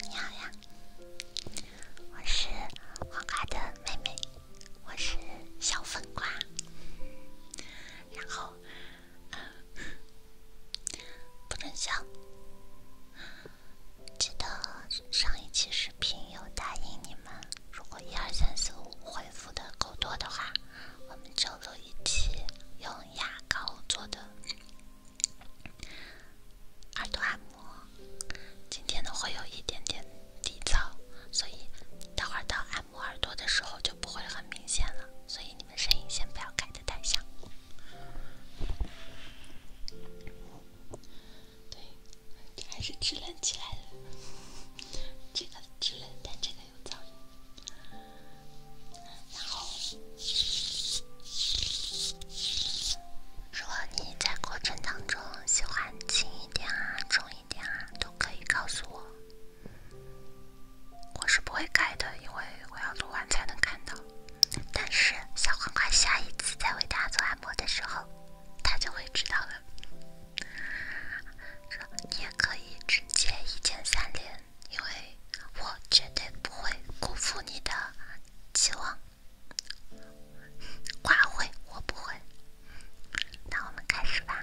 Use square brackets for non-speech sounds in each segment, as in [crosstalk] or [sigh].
你好呀，我是黄瓜的妹妹，我是小粉瓜，然后不准笑。记得上一期视频有答应你们，如果一二三四五回复的够多的话，我们就录一期用牙膏做的。耳朵按摩，今天呢会有一点点底噪，所以待会儿到按摩耳朵的时候就不会很明显了，所以你们声音先不要开的太响。对，还是支棱起来了，这个支棱，但这个有噪音。然后，如果你在过程当中喜欢轻一点啊、重一点啊，都可以告诉我，我是不会改的，因为我要录完才能看到。但是小黄瓜下一次再为大家做按摩的时候，他就会知道了。说你可以直接一键三连。因为我绝对不会辜负你的期望，瓜会，我不会。那我们开始吧。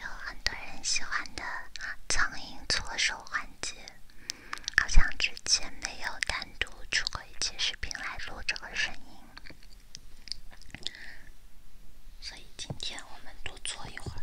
有很多人喜欢的苍蝇搓手环节，好像之前没有单独出过一期视频来录这个声音，所以今天我们多搓一会儿。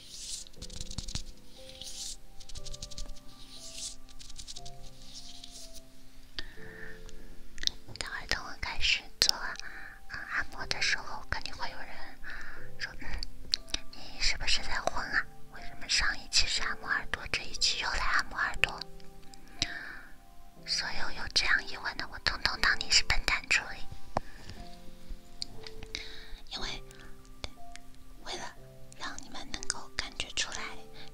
等儿耳朵开始做按摩的时候，肯定会有人说：“嗯，你是不是在混啊？为什么上一期是按摩耳朵，这一期又来按摩耳朵？”所有有这样疑问的，我统统当你是笨蛋处理，因为。为了让你们能够感觉出来，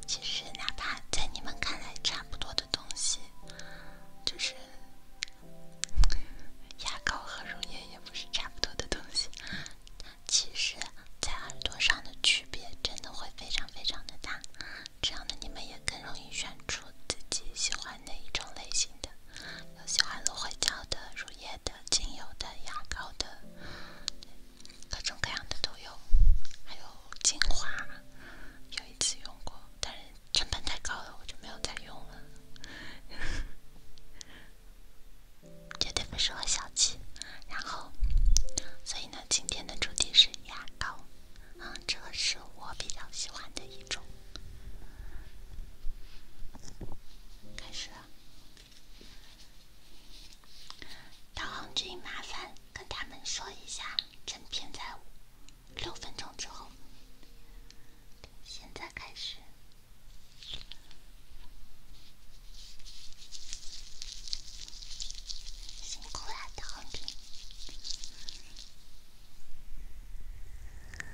其实哪怕在你们看来差不多的东西，就是牙膏和乳液也不是差不多的东西。其实，在耳朵上的区别真的会非常非常的大，这样的你们也更容易选出自己喜欢哪一种类型的。有喜欢芦荟胶的、乳液的、精油的、牙膏的，各种各样的都有。还有精华，有一次用过，但是成本太高了，我就没有再用了。绝对不适合小气。然后，所以呢，今天的主题是牙膏，嗯，这个是我比较喜欢的一种。开始了，导航君，麻烦跟他们说一下，整片在六分钟之后。现在开始，辛苦了，导航君。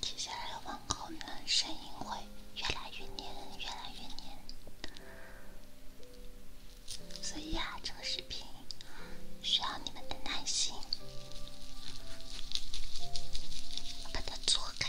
接下来往后呢，声音会越来越黏，越来越黏。所以啊，这个视频需要你们的耐心，把它做开。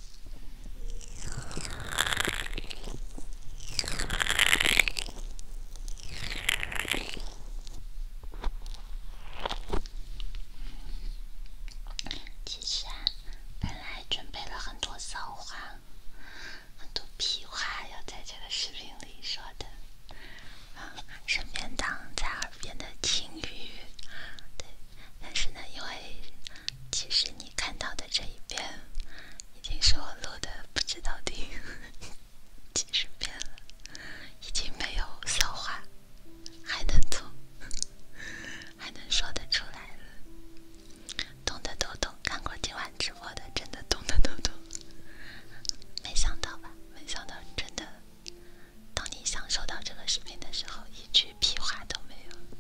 其实啊，本来准备了很多骚话、很多屁话要在这个视频里说的啊，身边挡在耳边的轻语啊，对，但是呢，因为。其实你看到的这一遍，已经是我录的不知道第 [laughs] 几十遍了，已经没有骚话，还能吐，[laughs] 还能说得出来了。懂的都懂，看过今晚直播的，真的懂的都懂。没想到吧？没想到，真的，当你享受到这个视频的时候，一句屁话都没有。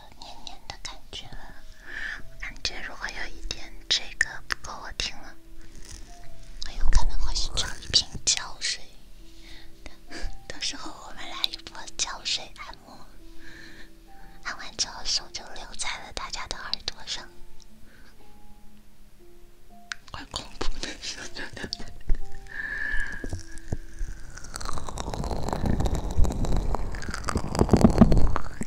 黏黏的感觉，感觉如果有一天这个不够我听了，我有可能会去找一瓶胶水，[laughs] 到时候我们来一波胶水按摩，按完之后手就留在了大家的耳朵上，怪恐怖的，黏黏的。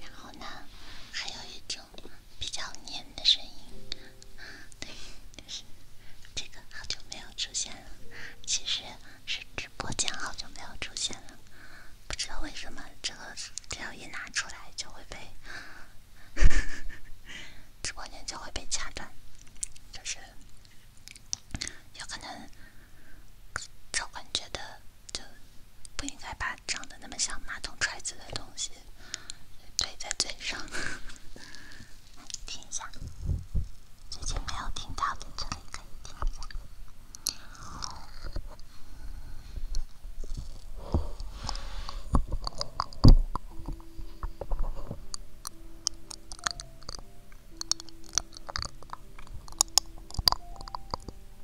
然后呢，还有一种比较黏的声音，对，就是这个好久没有出现了，其实是直播间好久没有出现了，不知道为什么这个只要一拿出来就会被，直播间就会被掐断，就是有可能。赵坤觉得就不应该把长得那么像马桶揣子的东西怼在嘴上。听一下，最近没有听到的，这里可以听一下。[laughs]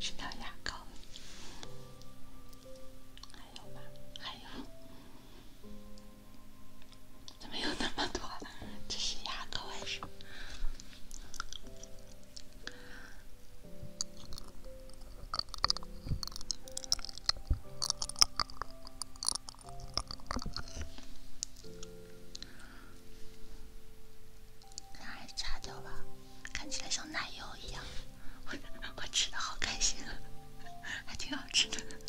吃条牙膏，还有吧，还有，没有那么多这是牙膏还是？给它擦掉吧，看起来像奶油一样。[laughs] 我吃的好开心啊，还挺好吃的。[laughs]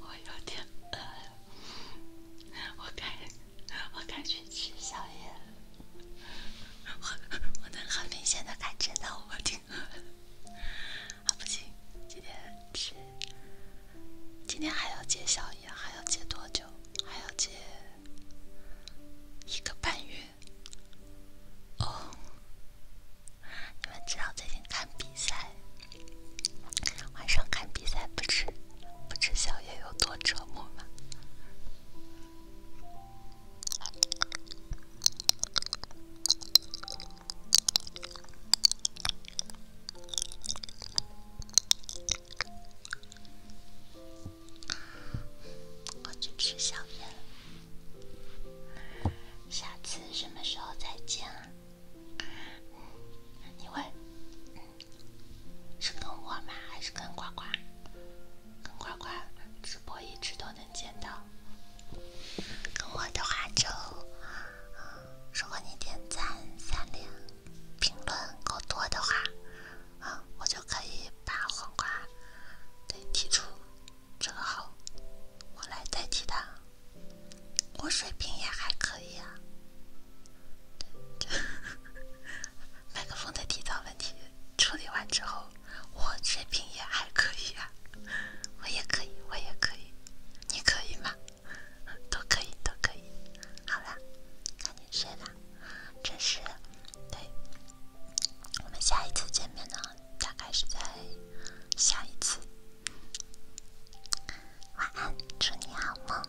我有点饿，了，我该，我该去吃宵夜。我我能很明显的感觉到我挺饿。啊不行，今天吃。今天还要接小叶，还要接多久？还要接一个半月。哦，你们知道最近看比赛，晚上看比赛不吃不吃宵夜有多折磨吗？我去吃宵夜了，下次什么时候再见啊？你会是跟我吗？还是跟呱呱？跟呱呱直播一直都。能见到，跟我的话就，如果你点赞、三连、评论够多的话，啊，我就可以把黄瓜对提出这个号，我来代替他。我水平也还可以啊。[laughs] 麦克风的提噪问题处理完之后。我水平也还可以啊，我也可以，我也可以，你可以吗？都可以，都可以。好啦，赶紧睡吧。这是对，我们下一次见面呢，大概是在下一次。晚安，祝你好梦。